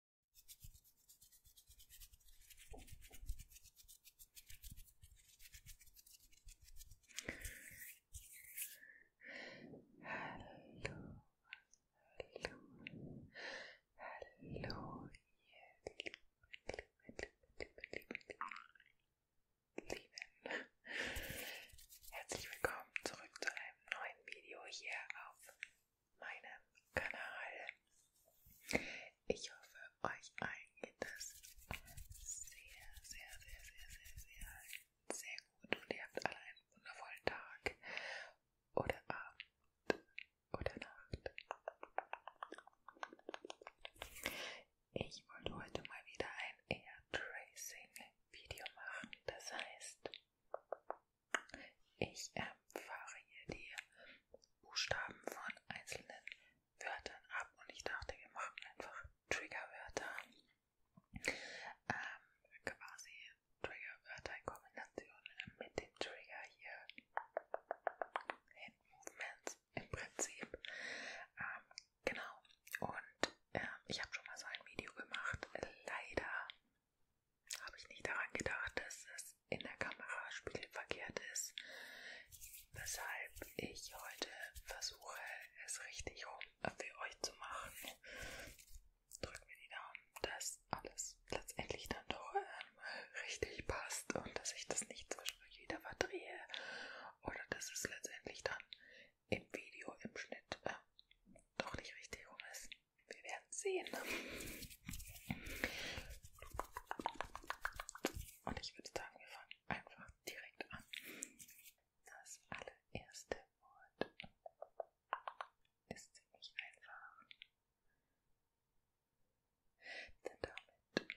Hallo, hallo, hallo, ihr lieben, lieben, lieben, lieben, lieben. Herzlich willkommen zurück zu einem neuen Video hier auf meinem Kanal. Ich hoffe, euch allen geht das sehr, sehr, sehr, sehr, sehr, sehr, sehr gut und ihr habt alle einen wundervollen Tag oder Abend oder Nacht. Ich wollte heute mal wieder ein Air Tracing Video machen, das heißt, ich empfahre hier die Buchstaben von einzelnen Wörtern ab und ich dachte, wir machen einfach Triggerwörter. Ähm, quasi Triggerwörter in Kombination ähm, mit dem Trigger hier. Hand Movements im Prinzip. Ähm, genau. Und ähm, ich habe schon mal so ein Video gemacht. Leider habe ich nicht daran gedacht, dass es in der Kamera spiegelverkehrt ist, weshalb ich heute versuche, es richtig rum für euch zu machen. Drückt mir die Daumen, dass alles letztendlich dann doch ähm, richtig passt und dass ich das nicht zwischendurch wieder verdrehe oder dass es letztendlich dann im Video, im Schnitt äh, doch nicht richtig rum ist. Wir werden sehen. Und ich würde sagen, wir fangen einfach direkt an. Das allererste Wort ist ziemlich einfach. Denn damit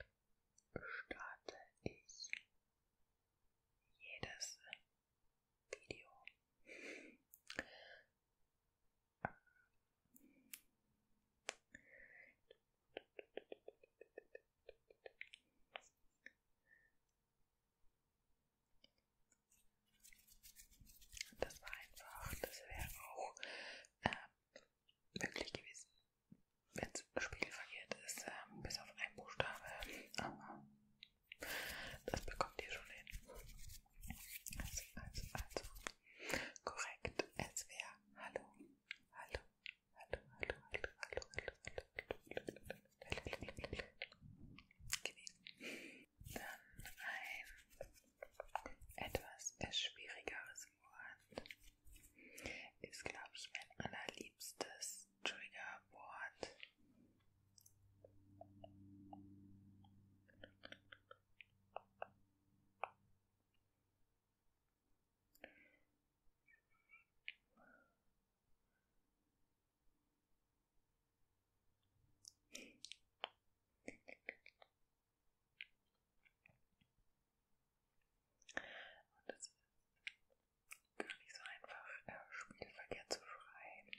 starte ich jedes Video. Das war einfach, das wäre auch ähm, möglich gewesen, wenn es spiegelverkehrt ist, ähm, bis auf einen Buchstabe. Aber das bekommt ihr schon hin. Also, also, also. Korrekt. Es wäre Hallo. Hallo. Hallo, hallo, hallo, hallo, hallo, hallo. Dann ein etwas schwierigeres Wort. Ist, glaube ich, mein allerliebstes Triggerwort. Und es ist gar nicht so einfach, äh, Spiegelverkehr zu schreiben.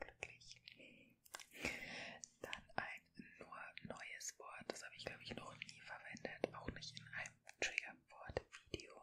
glücklich. Dann ein nur neues Wort, das habe ich glaube ich noch nie verwendet, auch nicht in einem Triggerwort-Video.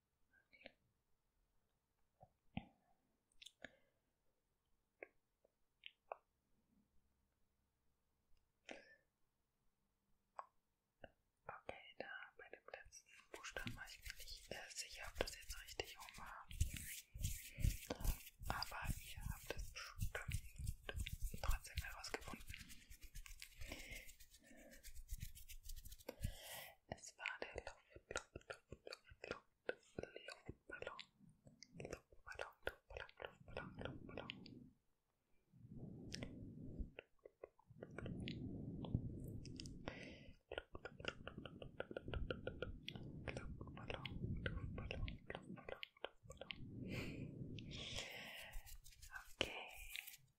Okay, da bei dem letzten Buchstaben war ich mir nicht äh, sicher, ob das jetzt richtig rum war. Aber ihr habt es bestimmt trotzdem herausgefunden. Es war der Okay,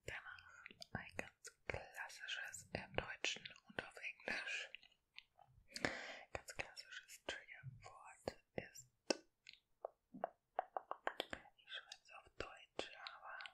danach ein ganz ganz klassisches im Deutschen und auf Englisch. Ganz klassisches Triggerwort ist. Ich schreibe es auf Deutsch, aber.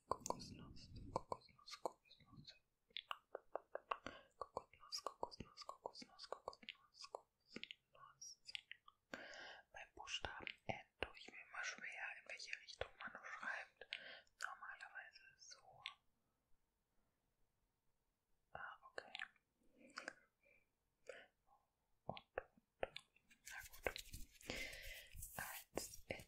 Kokosnuss, Kokosnuss, Kokosnuss. Kokosnuss, Kokosnuss, Kokosnuss, Kokosnuss, Kokosnuss. Beim Buchstaben N tue ich mir immer schwer, in welche Richtung man nur schreibt. Normalerweise so. Ah, okay. Und, und. Na gut. Als N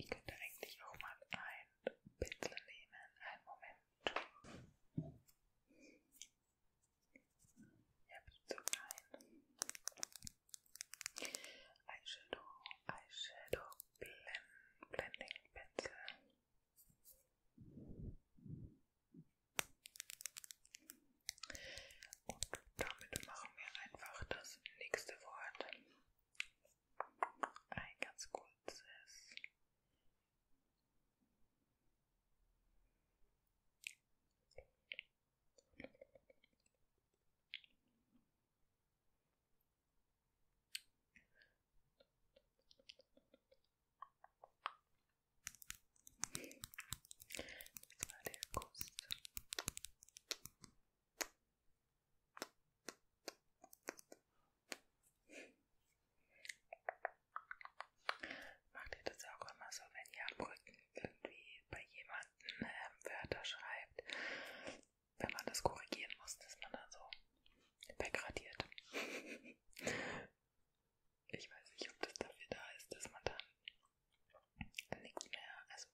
Ich könnte eigentlich auch mal ein Pinsel nehmen. Einen Moment. Ja, bitte rein. Eyeshadow, Eyeshadow, Blend, Blending Pencil. Und damit machen wir einfach das nächste Wort. Ein ganz kurzes. Das war der Kuss. Macht ihr das auch immer so, wenn ihr am Rücken irgendwie bei jemandem äh, Wörter schreibt, wenn man das korrigieren muss, dass man dann so wegradiert? ich weiß nicht, ob das dafür da ist, dass man dann nichts mehr, also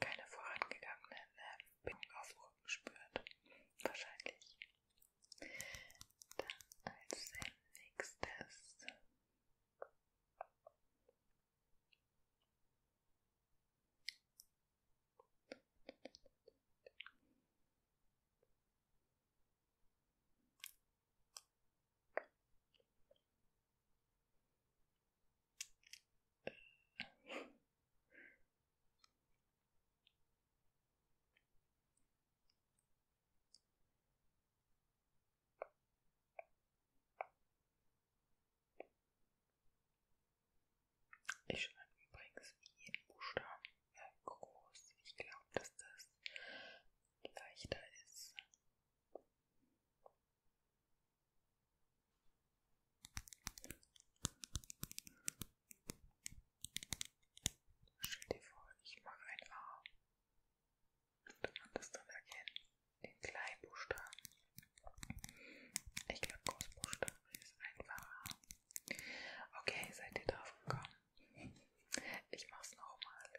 keine vorangegangenen ne, Bedingungen auf Rücken spürt. Wahrscheinlich. Dann als nächstes. Ich schreibe übrigens jeden Buchstaben äh, groß. Ich glaube, dass das leichter ist. Stell dir vor, ich mache ein A. Kann man das dann erkennen? Den kleinen Buchstaben. Ich glaube, Großbuchstaben ist einfacher. Okay, seid ihr drauf gekommen? Ich mach's nochmal.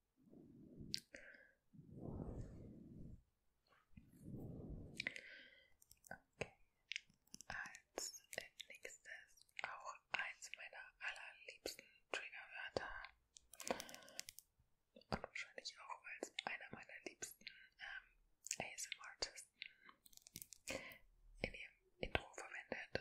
Okay. Als nächstes auch eins meiner allerliebsten Triggerwörter. Und wahrscheinlich auch, weil es einer meiner liebsten ähm, ASMR-Artisten in ihrem Intro verwendet.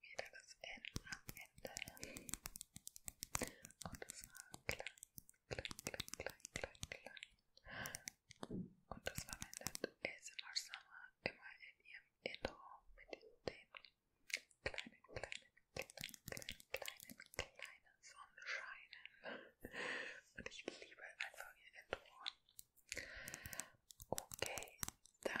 Wieder das N am Ende. Und das war klein, klein, klein, klein, klein, klein. Und das verwendet ASMR Summer immer in ihrem Intro mit dem kleinen, kleinen, kleinen, kleinen, kleinen, kleinen Sonnenscheinen. Und ich liebe einfach ihr Intro. Okay, dann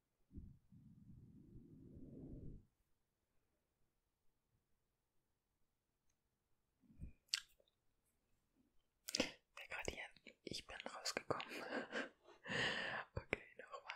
Der Gradient, ich bin rausgekommen. okay, nochmal.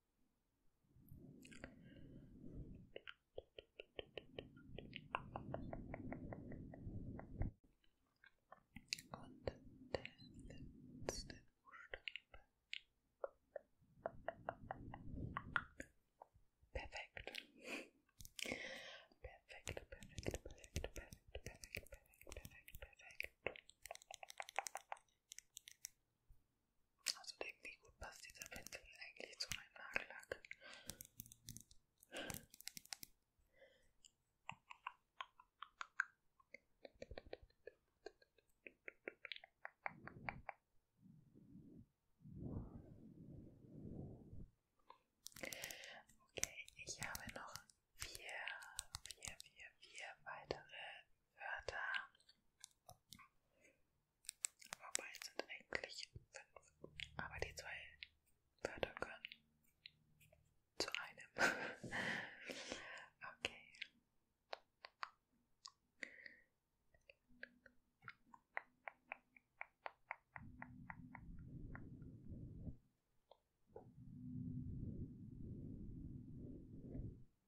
Und der letzte Buchstabe. Perfekt. Perfekt, perfekt, perfekt, perfekt, perfekt, perfekt, perfekt, perfekt. Also denk, wie gut passt dieser Pinsel eigentlich zu meinem Nagellack. Okay, ich habe noch vier, vier, vier, vier weitere Wörter. Wobei es sind eigentlich fünf, aber die zwei Wörter können zu einem. okay.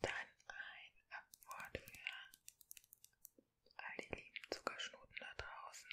Dann ein Abwort für all die lieben Zuckerschnuten da draußen.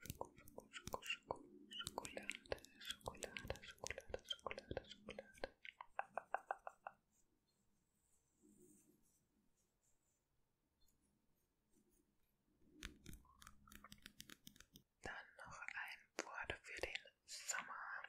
Schoko, Schoko, Schoko, Schokolade, Schokolade, Schokolade, Schokolade, Schokolade. Dann noch ein Wort für den Sommer.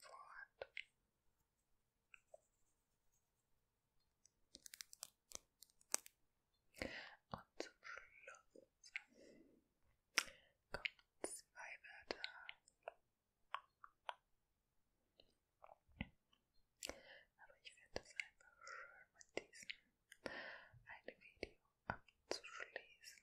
Vorhand. Und zum Schluss kommen zwei Wörter. Aber ich finde es einfach schön, mit diesem ein Video abzuschließen.